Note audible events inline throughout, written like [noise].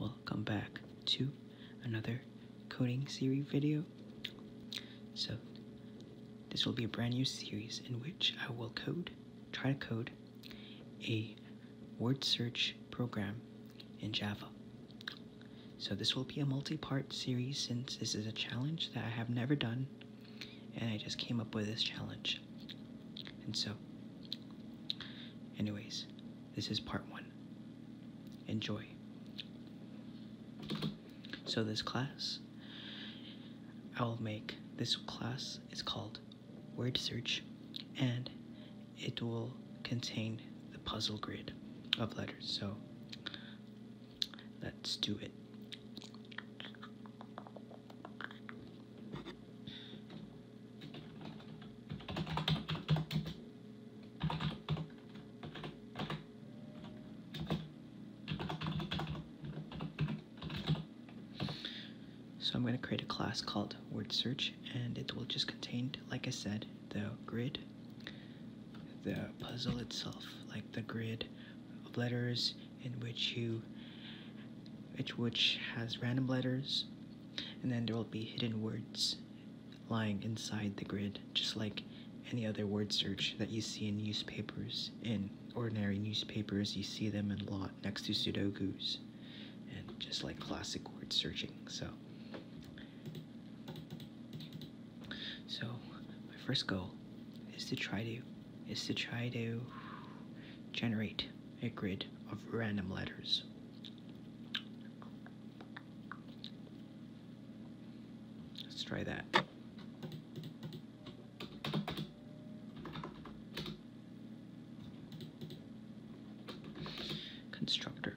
Welcome back to another coding series video. So this will be a brand new series in which I will code, try to code a word search program in Java. So this will be a multi-part series since this is a challenge that I have never done and I just came up with this challenge. And so anyways, this is part one. Enjoy. So this class, I'll make, this class is called Word Search, and it will contain the puzzle grid of letters. So let's do it. So I'm going to create a class called word search and it will just contain, like I said, the grid, the puzzle itself, like the grid of letters in which you, which, which has random letters and then there will be hidden words lying inside the grid, just like any other word search that you see in newspapers. In ordinary newspapers, you see them a lot next to Sudokus, and just like classic word searching. So, so my first goal is to try to is to try to generate a grid of random letters. Let's try that. Constructor.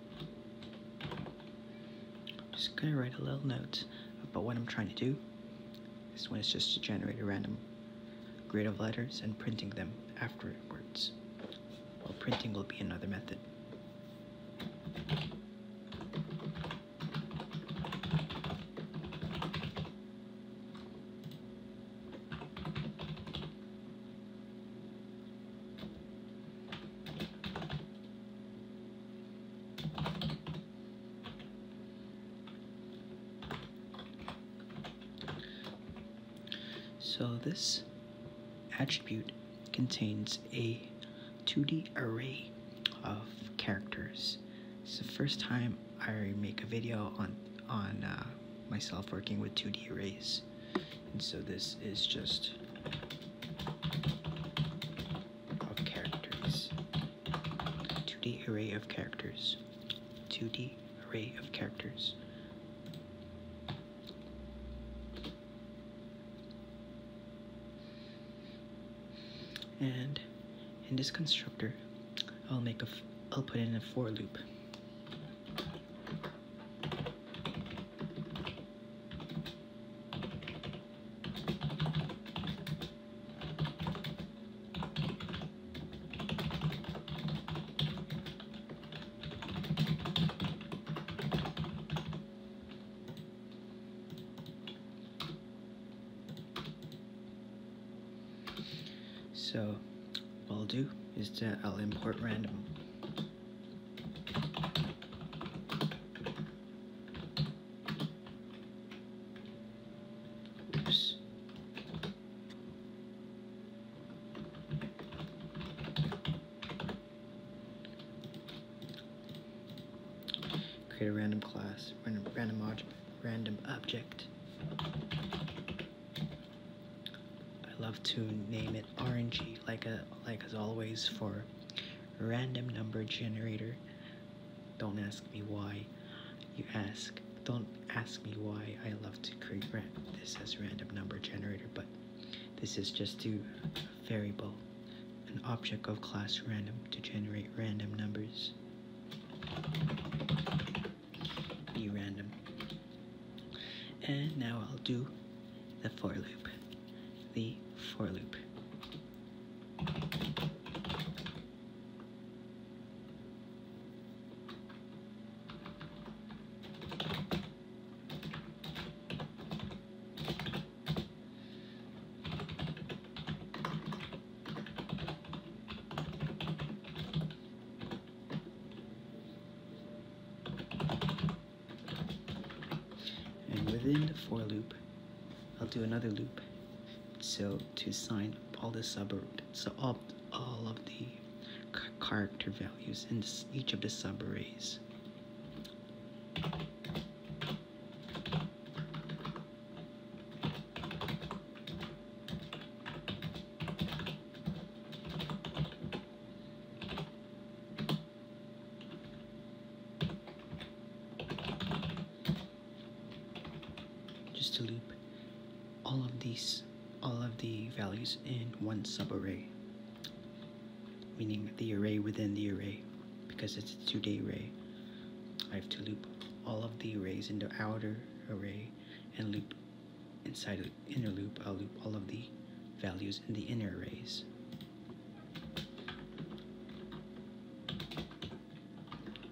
I'm just gonna write a little note about what I'm trying to do. This one is just to generate a random grid of letters and printing them afterwards. While printing will be another method. So this attribute contains a 2D array of characters. It's the first time I make a video on on uh, myself working with 2D arrays. And so this is just of characters. 2D array of characters. 2D array of characters. And in this constructor, I'll make a, I'll put in a for loop. So what I'll do is that I'll import random Oops. Create a random class, random, random object, random object. I love to name it RNG like a like as always for random number generator don't ask me why you ask don't ask me why I love to create this as random number generator but this is just to variable an object of class random to generate random numbers E random and now I'll do the for loop, the for loop. And within the for loop, I'll do another loop. So to assign all the subroutines, so all, all of the character values in each of the subarrays just to loop all of these all of the values in one subarray meaning the array within the array because it's a two-day array I have to loop all of the arrays in the outer array and loop Inside the inner loop, I'll loop all of the values in the inner arrays.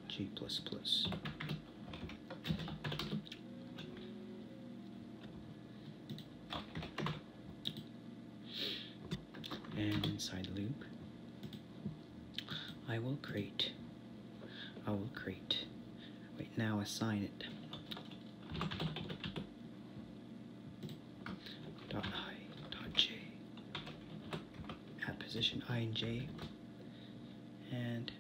G++. And inside the loop, I will create, I will create, Wait, now assign it dot i dot j at position i and j and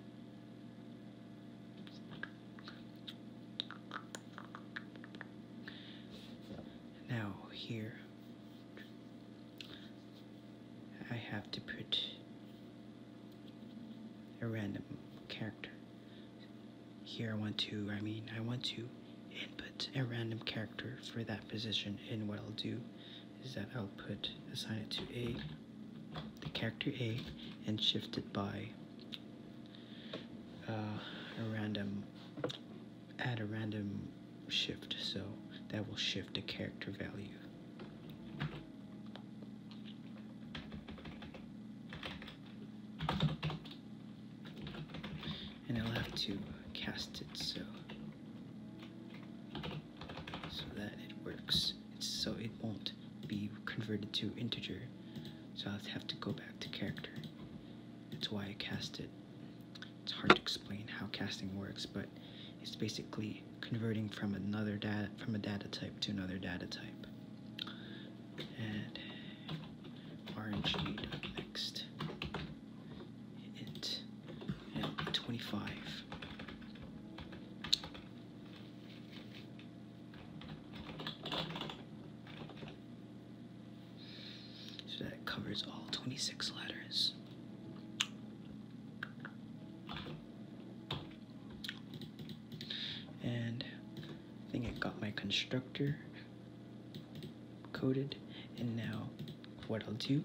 now here I have to put a random character. Here I want to, I mean, I want to input a random character for that position and what I'll do is that I'll put, assign it to A, the character A, and shift it by uh, a random, add a random shift so that will shift the character value. And I'll have to cast it so so that it works. so it won't be converted to integer. So I'll have to go back to character. That's why I cast it. It's hard to explain how casting works, but it's basically converting from another data from a data type to another data type. Add rng.next int 25. So that covers all 26 letters and I think I got my constructor coded and now what I'll do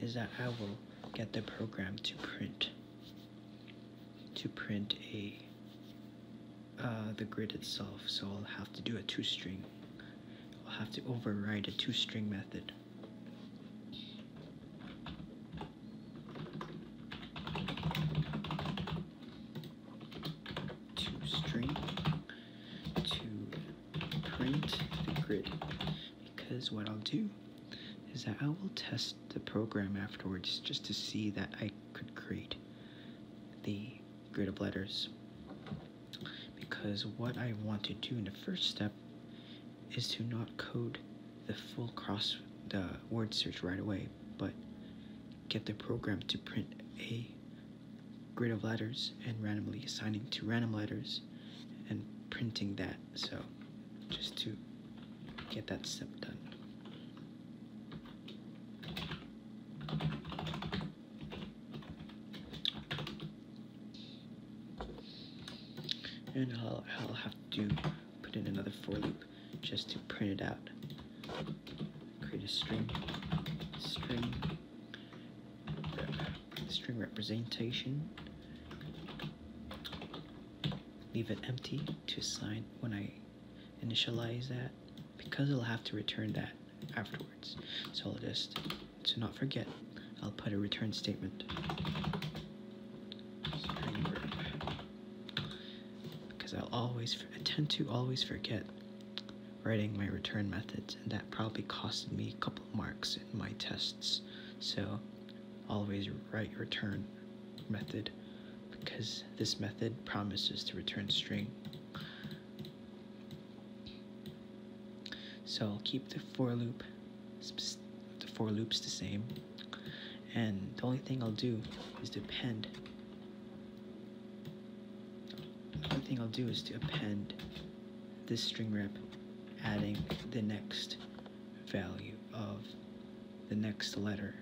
is that I will get the program to print to print a uh, the grid itself so I'll have to do a two-string I'll have to override a two-string method to string to print the grid because what I'll do is that I will test the program afterwards just to see that I could create the grid of letters because what I want to do in the first step is to not code the full cross the word search right away, but get the program to print a grid of letters and randomly assigning to random letters and printing that. So just to get that step done. And I'll, I'll have to put in another for loop just to print it out. Create a string, string, uh, string representation. Leave it empty to assign when I initialize that because it'll have to return that afterwards. So I'll just, to not forget, I'll put a return statement. Because I'll always, tend to always forget writing my return methods, and that probably costed me a couple marks in my tests. So always write return method because this method promises to return string. So I'll keep the for loop the for loops the same and the only thing I'll do is to append the only thing I'll do is to append this string rep adding the next value of the next letter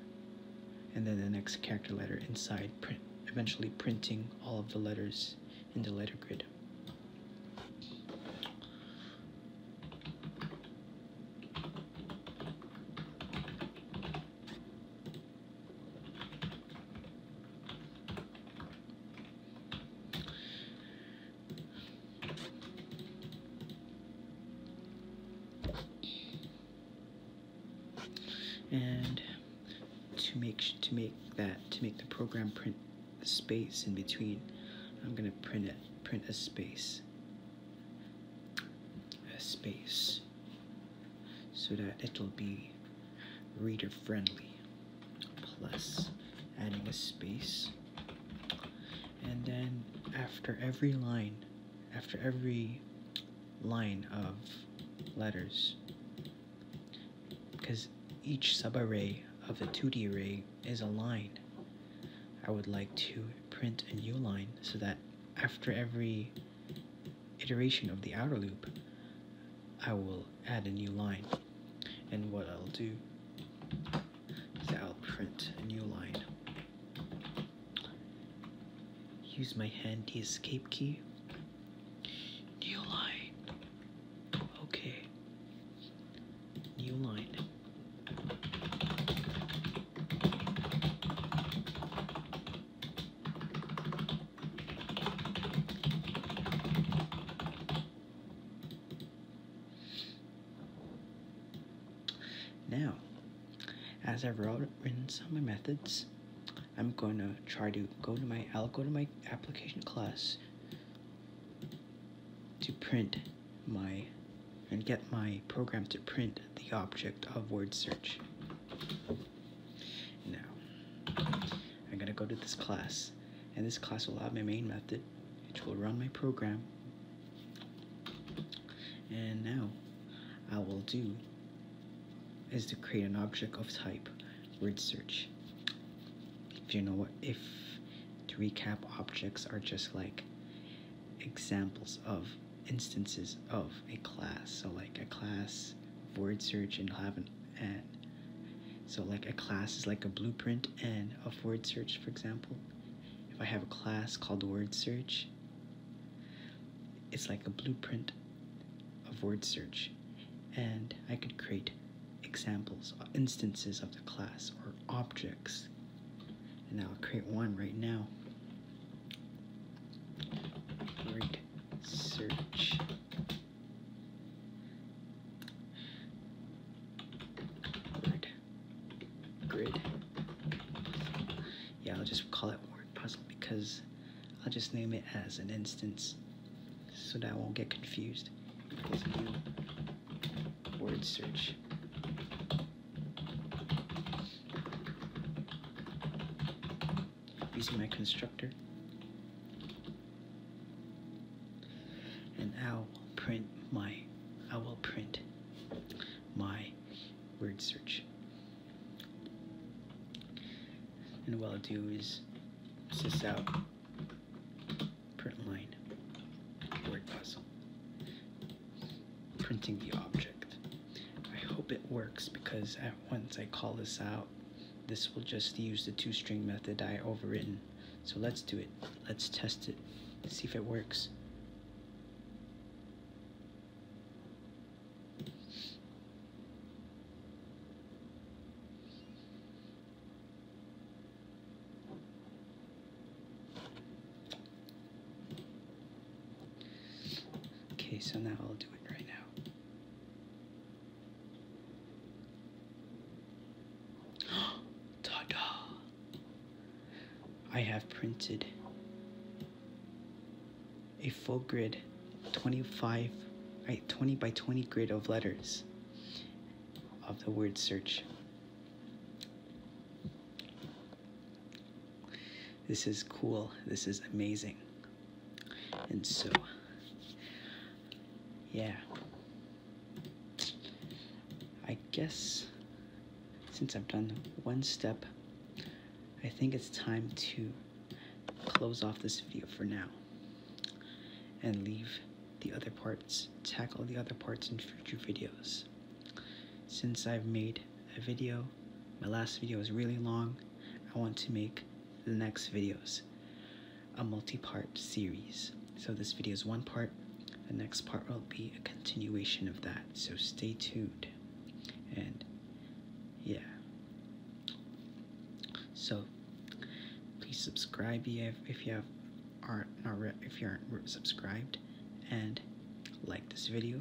and then the next character letter inside print eventually printing all of the letters in the letter grid. and to make to make that to make the program print a space in between. I'm gonna print it, print a space, a space, so that it'll be reader friendly. Plus adding a space. And then after every line, after every line of letters, because each sub array of the 2D array is a line. I would like to print a new line so that after every iteration of the outer loop, I will add a new line. And what I'll do is I'll print a new line. Use my handy escape key. New line. Okay. New line. Now, as I've written some of my methods, I'm going to try to go to my, I'll go to my application class to print my, and get my program to print the object of word search. Now, I'm gonna go to this class, and this class will have my main method, which will run my program. And now, I will do is to create an object of type word search. If you know what, if to recap, objects are just like examples of instances of a class. So like a class word search and have an and. So like a class is like a blueprint and of word search, for example. If I have a class called word search, it's like a blueprint of word search. And I could create examples, uh, instances of the class or objects. And I'll create one right now. Word search. Word grid. Yeah, I'll just call it word puzzle because I'll just name it as an instance so that I won't get confused. There's a new word search. Using my constructor. And I will print my, I will print my word search. And what I'll do is sys out print line word puzzle printing the object I hope it works because at once I call this out this will just use the two-string method I overwritten so let's do it let's test it see if it works Okay, so now I'll do it right now. [gasps] Ta-da! I have printed a full grid, 25, right, 20 by 20 grid of letters of the word search. This is cool. This is amazing. And so, yeah. I guess since I've done one step, I think it's time to close off this video for now and leave the other parts, tackle the other parts in future videos. Since I've made a video, my last video was really long, I want to make the next videos a multi-part series. So this video is one part, the next part will be a continuation of that, so stay tuned. And yeah. So please subscribe if, if you have aren't if you aren't subscribed, and like this video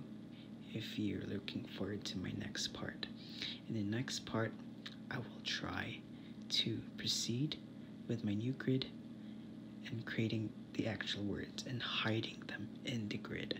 if you're looking forward to my next part. In the next part, I will try to proceed with my new grid and creating the actual words and hiding them in the grid.